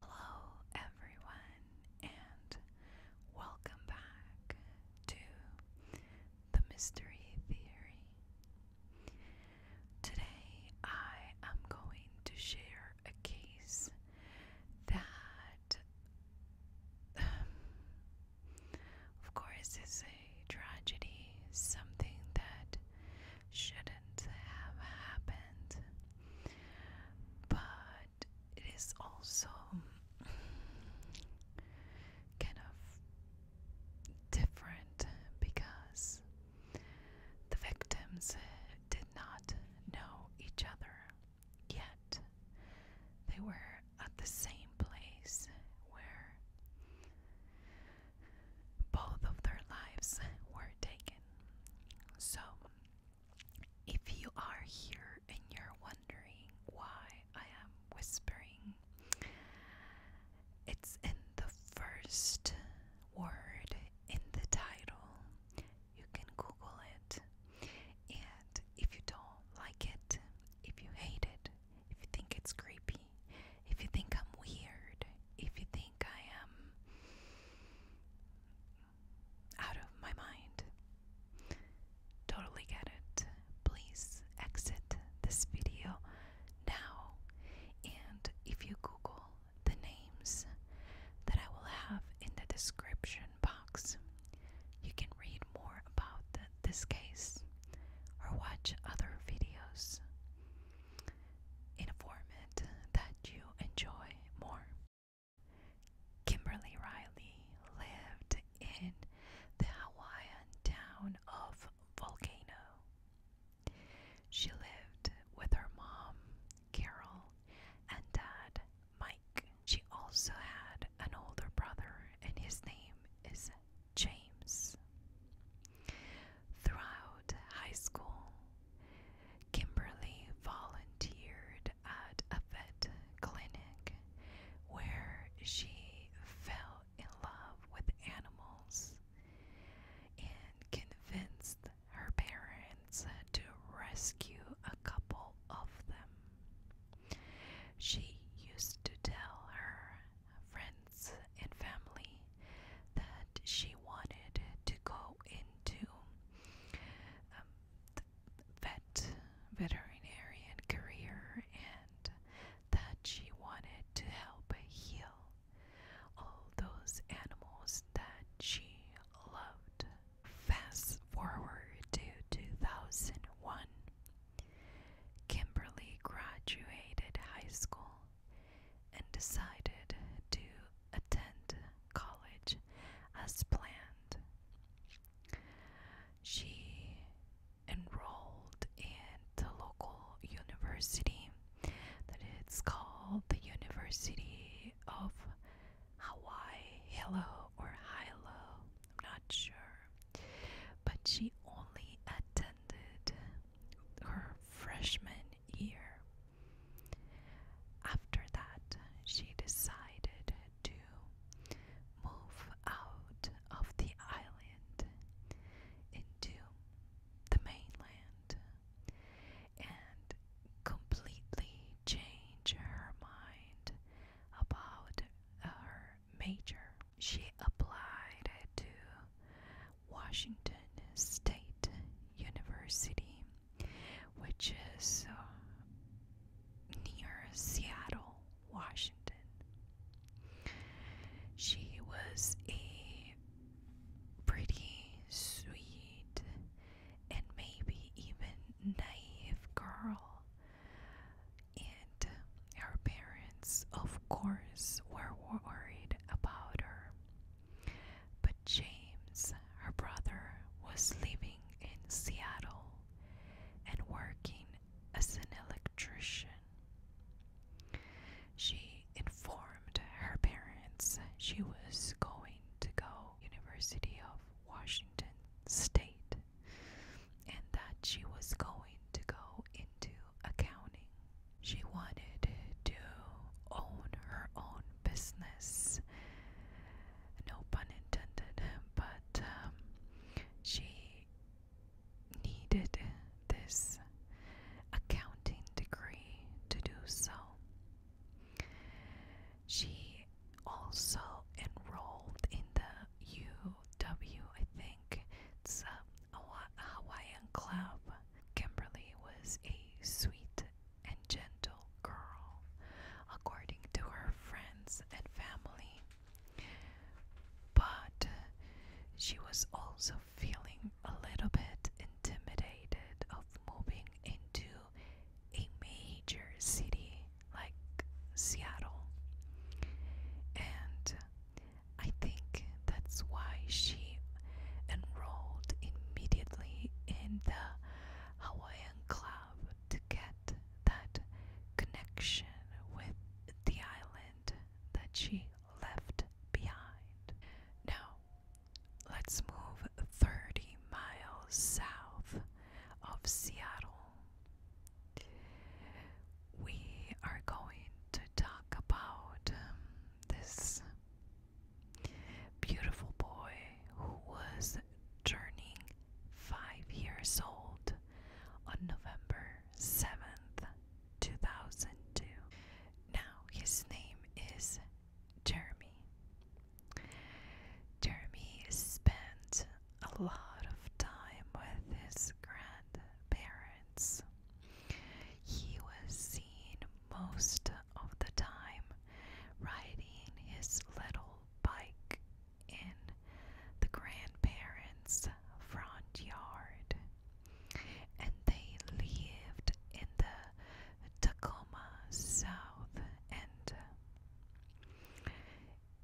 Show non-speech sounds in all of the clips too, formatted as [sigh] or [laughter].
Hello, everyone, and welcome back to the Mystery Theory. Today, I am going to share a case that, [sighs] of course, is a tragedy, something that shouldn't have happened. But it is also kind of different because the victims uh, did not know each other yet. They were at the same place where both of their lives were taken. So if you are here and you're wondering why I am whispering, it's in the first word in the title. You can Google it. And if you don't like it, if you hate it, if you think it's creepy, if you think I'm weird, if you think I am out of my mind. Totally get it. Please exit this video now. And if you Google the names that I will have in the description box, you can read more about this case or watch other videos in a format that you enjoy more. Kimberly Riley lived in the Hawaiian town of Volcano. She lived with her mom, Carol, and dad, Mike. She also had an older brother, and his name is James. Throughout high school, Kimberly volunteered at a vet clinic where she fell in love with animals and convinced her parents to rescue a couple of them. She used to tell her friends and family that she wanted to go into um, vet veterinarian career and that she wanted to help heal all those animals that she loved. Fast forward to 2001. Kimberly graduated high school and decided to attend college as planned. She enrolled in the local university that it's called the University of Hawaii Hilo or Hilo, I'm not sure. But she only attended her freshman year. After that, she decided to move out of the island into the mainland and completely change her mind about her major. She applied to Washington State University which is uh, near Seattle, Washington. She was a pretty sweet and maybe even naive girl, and her parents, of course, were worried about her. But James, her brother, was living in Seattle and working as an electrician. She informed her parents she was going to go University of Washington State and that she was going to go into accounting. She wanted to own her own business no pun intended, but um, she needed this accounting degree to do so. She also enrolled in the UW, I think, it's Hawaiian club. Kimberly was a sweet and gentle girl, according to her friends and family. But she was also feeling a little bit intimidated of moving into a major city like Seattle. And I think that's why she enrolled immediately in the Hawaiian Club to get that connection with the island that she left behind. Now, let's move 30 miles south of Seattle. We are going to talk about um, this Beautiful Boy, who was turning five years old on November 7th, 2002. Now his name is Jeremy. Jeremy spent a lot of time with his grandparents. He was seen most of the time riding his little bike in the grandparents' front yard. And they lived in the Tacoma South End.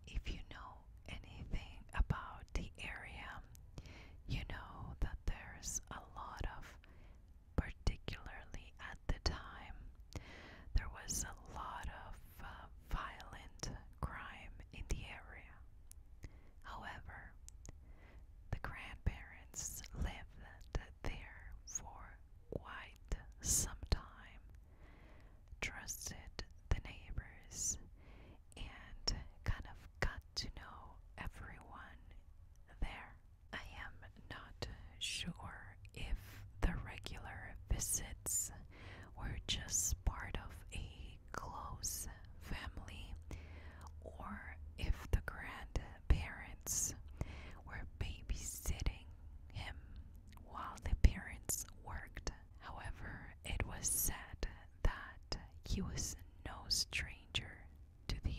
If you know anything about the area, you know that there's a lot of particularly at the time, there was a lot of uh, violent crime in the area. However, the grandparents lived there for quite some time, trusted the neighbors, and kind of got to know everyone there. I am not sure if the regular visits were just part of a close family or if the grandparents were babysitting him while the parents worked. However, it was said that he was no stranger to the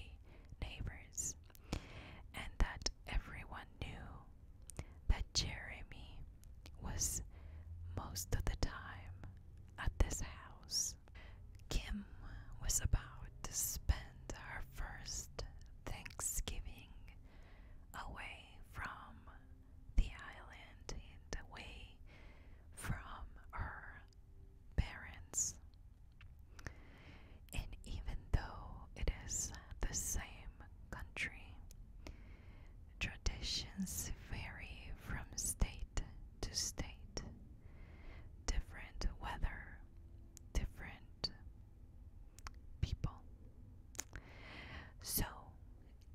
neighbors, and that everyone knew that Jeremy was most of the time at this house. Kim was about to spend her first Thanksgiving away from the island and away from her parents. And even though it is the same country, traditions vary from state to state. Different weather, different people. So,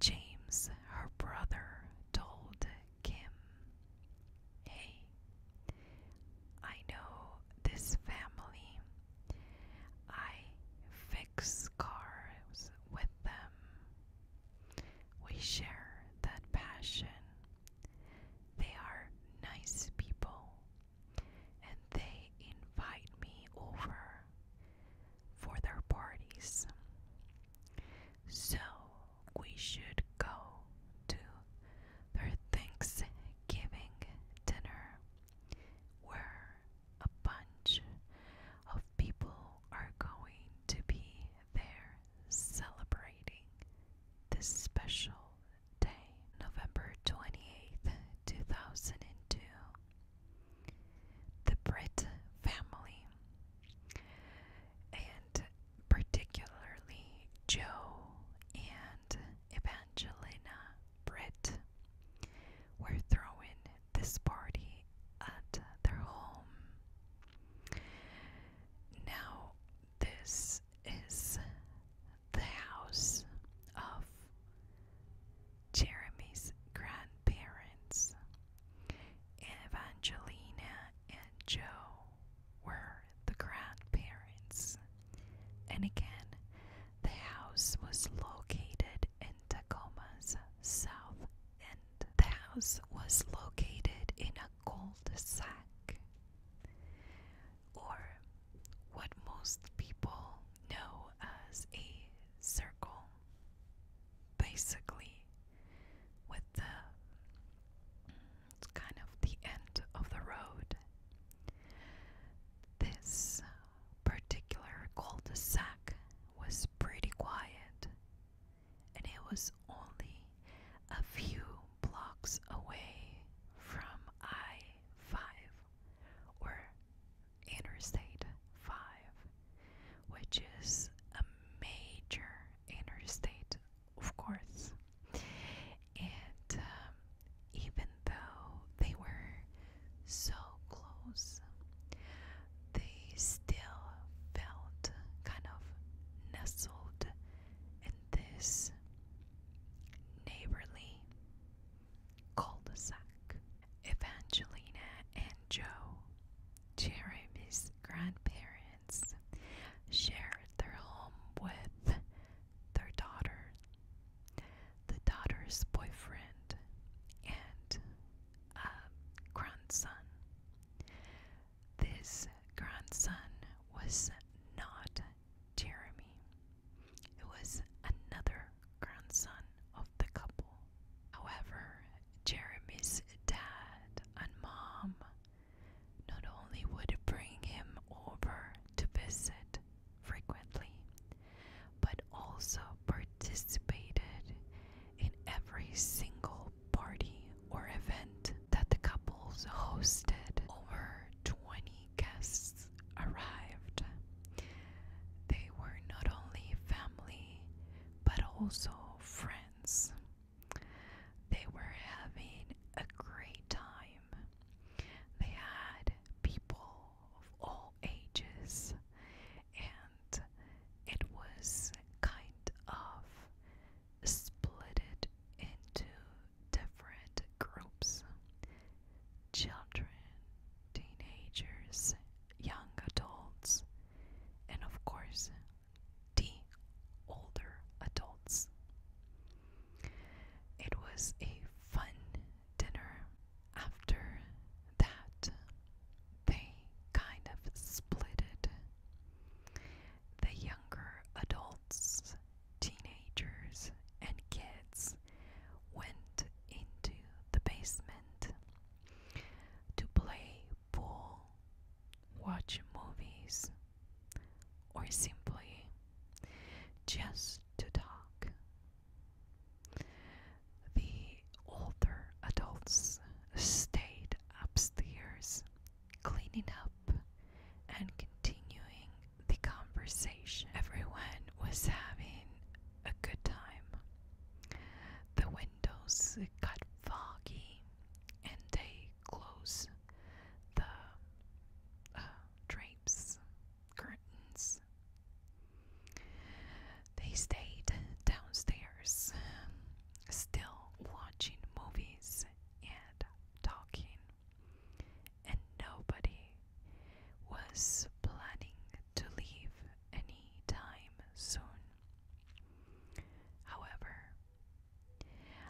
James, her brother, told Kim, Hey, I know this family. I fix cars with them. We share that passion. They are nice people and they invite me over for their parties. So we should go to their Thanksgiving dinner, where a bunch of people are going to be there celebrating this special day, November 28th, 2002. The Britt family, and particularly Joe and and Evangelina Britt We're throwing this party at their home. Now, this is the house of Jeremy's grandparents. Evangelina and Joe were the grandparents. And again, the house was located in Tacoma's south and The house was located in a gold sack, or what most people know as a circle. Basically, with the it's kind of the end of the road. This particular cul de sac was pretty quiet, and it was only a few blocks away from I 5 or Interstate 5, which is a major interstate of course. And um, even though they were so close, they still felt kind of nestled in this neighborly cul de sac. Evangelina and Joe, Jeremy's grandparents, shared their home with their daughter, the daughter's boyfriend, and a grandson. This grandson was not Jeremy, it was another grandson of the couple. However, Jeremy's dad and mom not only would bring him over to visit frequently, but also participated in every single party or event that the couples hosted. Over 20 guests arrived. They were not only family, but also friends. They were having a great time they had people of all ages, and it was kind of splitted into different groups children, teenagers, young adults, and of course, the older adults. It was a fun dinner. After that, they kind of split it. The younger adults, teenagers, and kids went into the basement to play pool, watch movies, or simply just to talk. The older adults stayed upstairs, cleaning up and continuing the conversation. Everyone was having a good time. The windows got foggy and they closed the uh, drapes, curtains. They stayed downstairs, still watching movies and talking, and nobody was planning to leave any time soon. However,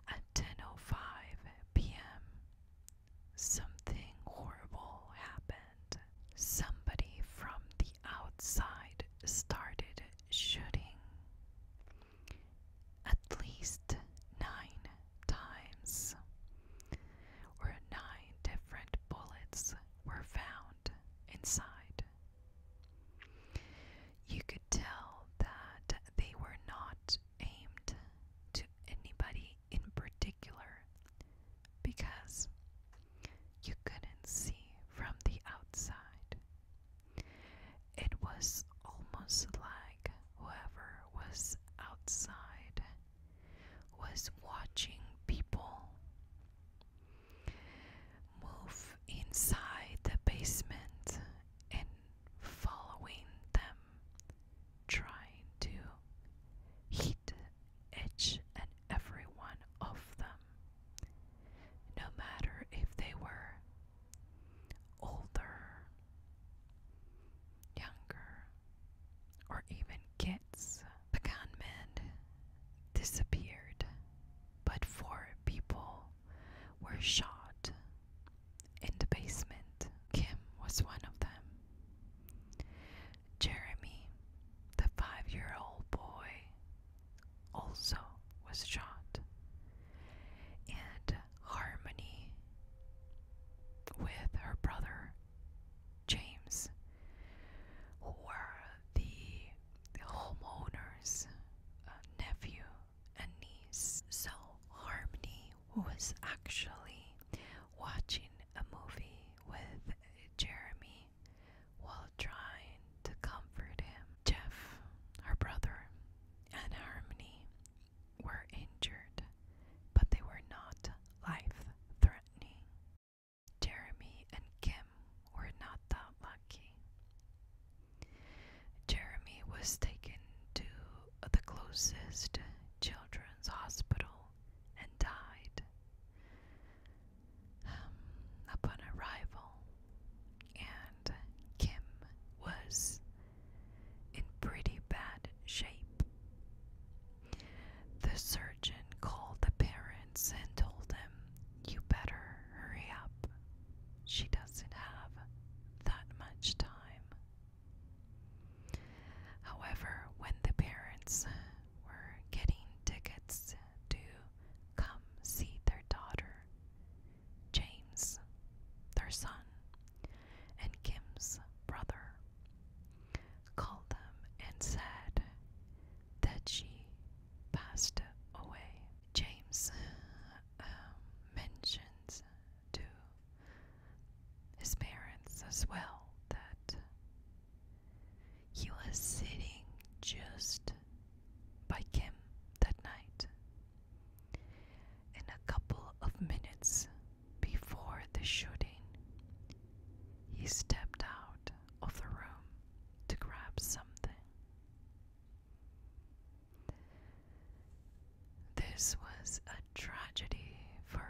at oh five p.m., something horrible happened. Somebody from the outside started shooting at least 9 times. Where 9 different bullets were found inside. You could tell that they were not aimed to anybody in particular because you couldn't see from the outside. It was almost like whoever was outside was watching people move inside the basement and following them trying to hit each and every one of them, no matter if they were older, younger, or even kids. The gunman disappeared, but four people were shot in the basement. Kim was one of them. Jeremy, the five year old boy, also was shot. And Harmony, with her brother James, who were the homeowner's uh, nephew a niece. So Harmony was actually watching a movie with Jeremy while trying to comfort him. Jeff, her brother, and Harmony were injured, but they were not life threatening. Jeremy and Kim were not that lucky. Jeremy was taken to the closest children's hospital and died. Um, upon arrival, and Kim was in pretty bad shape. The surgeon called the parents and told them, You better hurry up. She doesn't have that much time. However, when the parents were getting tickets to come see their daughter, James, their son, and Kim's brother, called them and said that she passed away. James uh, mentioned to his parents as well that he was sitting just by Kim that night. In a couple of minutes before the shooting, he stepped out of the room to grab something. This was a tragedy for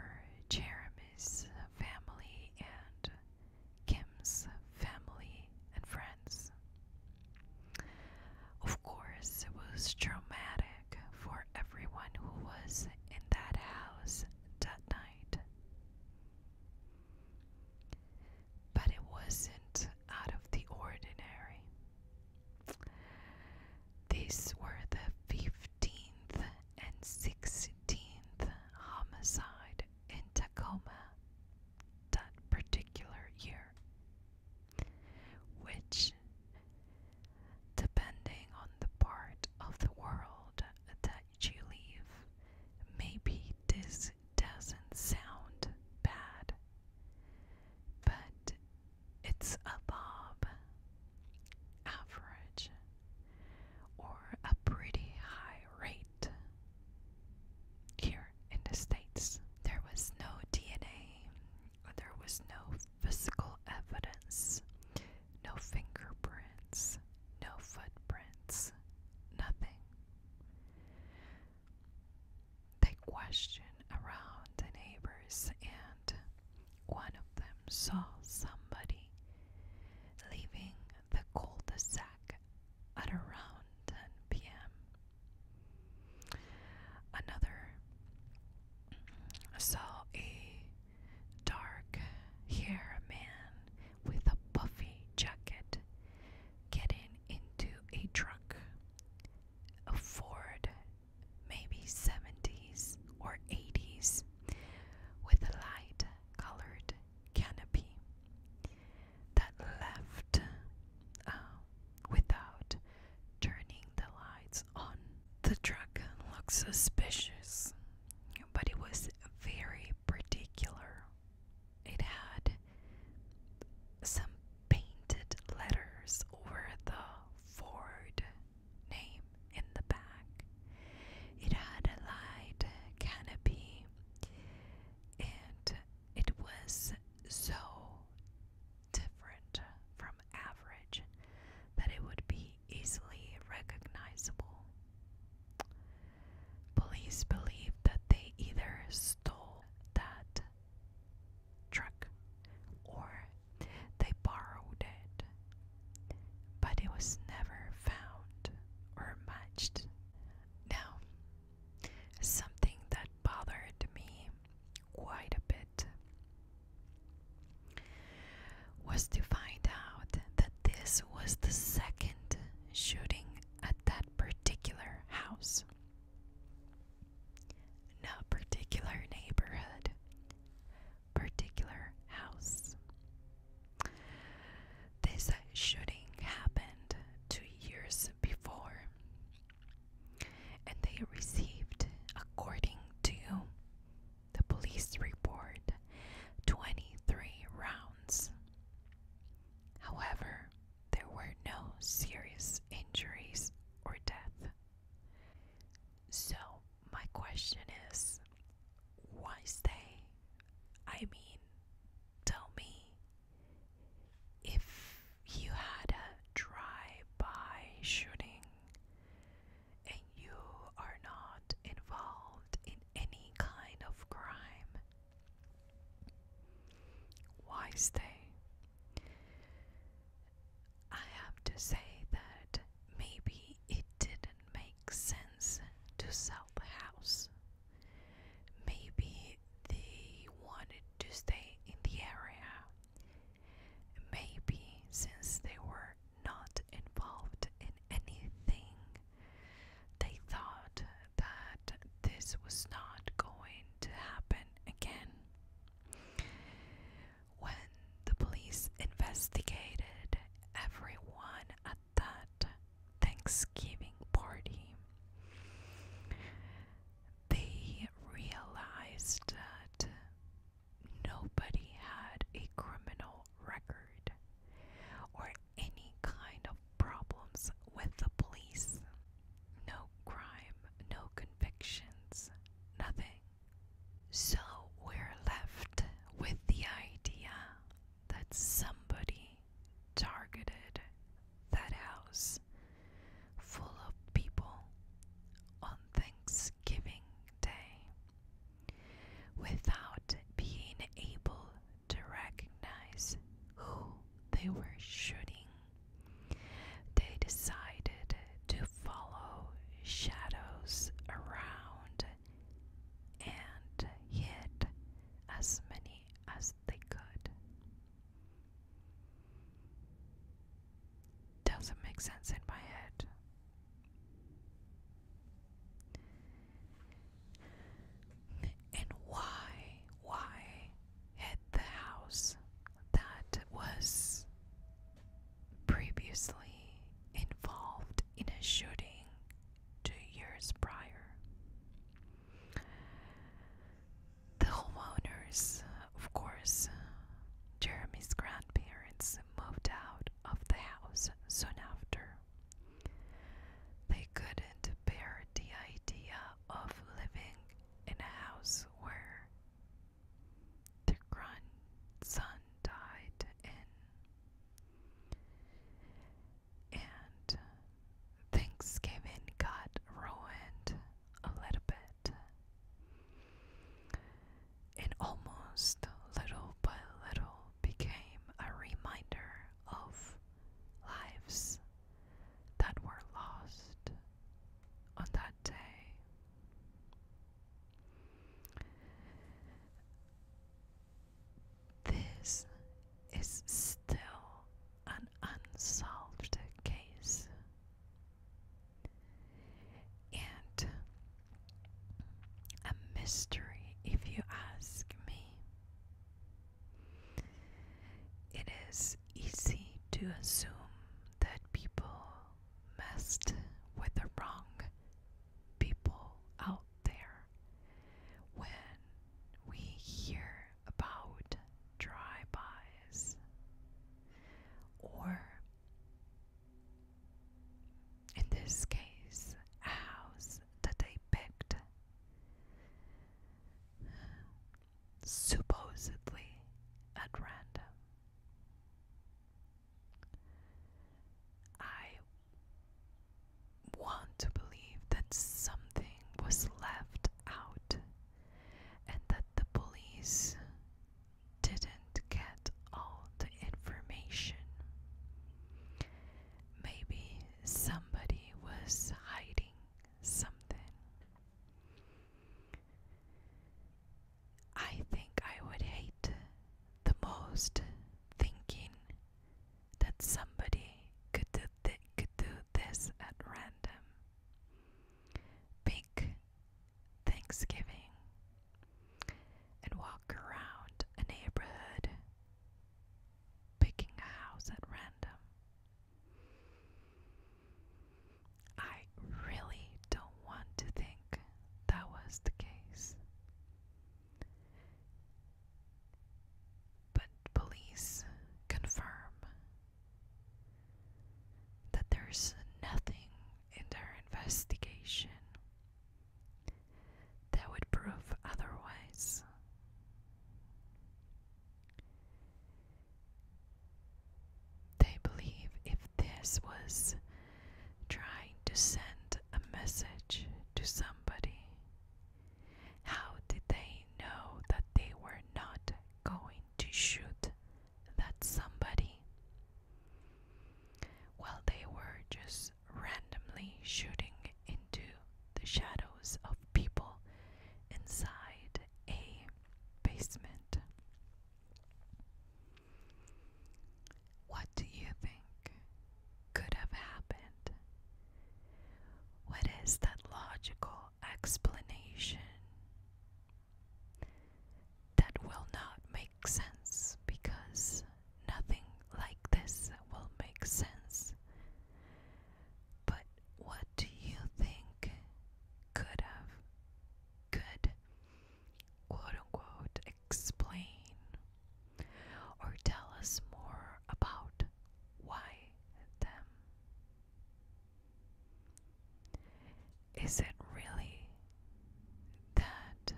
Jeremy's family and Kim's family and friends. Of course, it was traumatic for everyone who was in that house that night. But it wasn't out of the ordinary. These were the 15th and 16th homicide in Tacoma that particular year, which, depending on the part of the world that you live, maybe this doesn't sound bad but it's above average or a pretty high rate. Here in the States, there was no DNA, there was no physical evidence, no fingerprints, no footprints, nothing. They questioned around the neighbors, and one of them saw somebody leaving the cul de sac at around 10 p.m. Another saw a dark haired man with a puffy jacket getting into a truck afford maybe 70s or 80s with a light colored canopy that left uh, without turning the lights on. The truck looked suspicious, but it was very particular. It had some painted letters over the Ford name in the back. It had a light canopy and it was so different from average that it would be easily recognizable. Police believe that they either stole that truck or they borrowed it, but it was never found or matched. Now, something that bothered me quite a bit was to find out that this was the second shooting at that particular house. No particular neighborhood. Particular house. This shooting happened two years before, and they received, according to the police report, 23 rounds. However, there were no serious injuries or death. So, my question is why stay? I mean, tell me if you had a drive-by shooting and you are not involved in any kind of crime. Why stay? I have to say that maybe it didn't make sense to sell the house. Maybe they wanted to stay in the area. Maybe since they were not involved in anything, they thought that this was not going to happen again. When the police investigated everyone at that Thanksgiving party, they realized that nobody had a criminal record or any kind of problems with the police. No crime, no convictions, nothing. So we're left with the idea that somebody targeted that house full of people on Thanksgiving Day without being able to recognize who they were shooting they decided to follow shadows around and hit as many as they could. Doesn't make sense in my head. And why, why hit the house that was previously involved in a shooting two years prior. The homeowners, of course, Jeremy's grandparents moved out of the house soon after. They couldn't bear the idea of living in a house where the grandson died and things got ruined a little bit, and almost little by little became a reminder of lives that were lost on that day. This is still an unsolved case. And a mystery, if you ask me. It is easy to assume that people messed with the wrong people out there when we hear about drive-bys or in this case a house that they picked supposedly at random. I want to believe that something was left out and that the police didn't get all the information. Maybe somebody was hiding something. I think I would hate the most thinking that somebody could do, this at random. Pick Thanksgiving and walk around a neighborhood picking a house at random. I really don't want to think that was the case. But police confirm that there's nothing in their investigation that would prove otherwise. They believe if this was trying to send a message to somebody, how did they know that they were not going to shoot that somebody? Well, they were just randomly shooting into the shadows of people inside a basement. What do you think could have happened? What is that logical explanation that will not make sense because nothing like this will make sense? But what do you think could have could quote unquote explain or tell us more about why them? Is it really that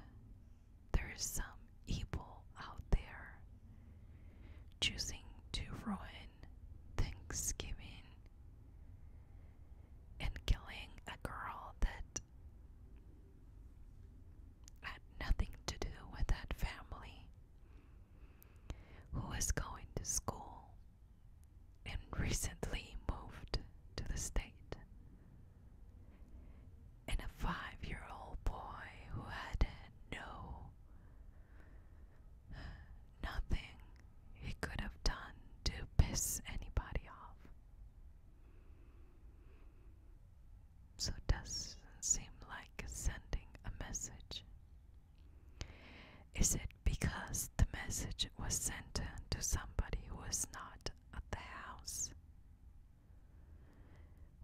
there is some evil out there choosing to ruin Thanksgiving and killing a girl that had nothing to do with that family who was going to school and recently moved to the state and a five-year-old boy who had no Nothing he could have done to piss anybody off. So it doesn't seem like sending a message. Is it because the message was sent to somebody who was not at the house?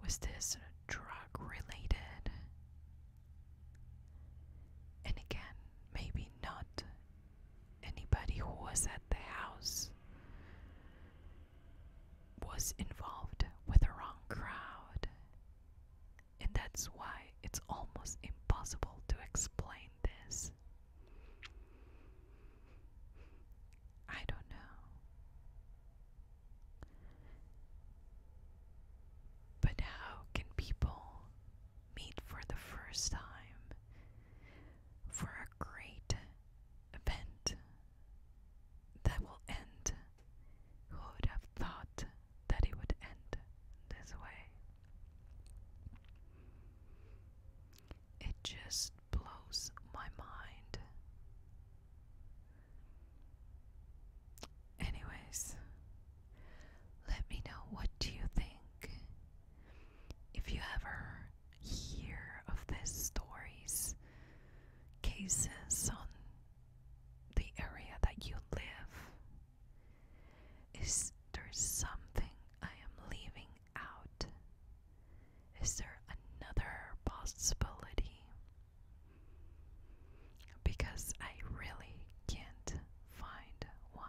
Was this drug related? And again, maybe not anybody who was at the house was involved with the wrong crowd. And that's why it's almost impossible to explain this. I don't know. But how can people meet for the first time for a great event that will end? Who would have thought that it would end this way? It just blows my mind. Anyways, let me know what do you think. If you ever hear of these stories, cases on the area that you live, is there something I am leaving out? Is there another possibility? because I really can't find one.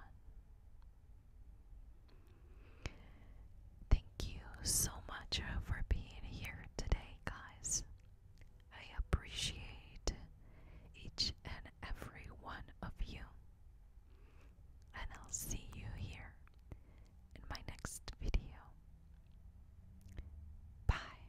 Thank you so much for being here today, guys. I appreciate each and every one of you. And I'll see you here in my next video. Bye.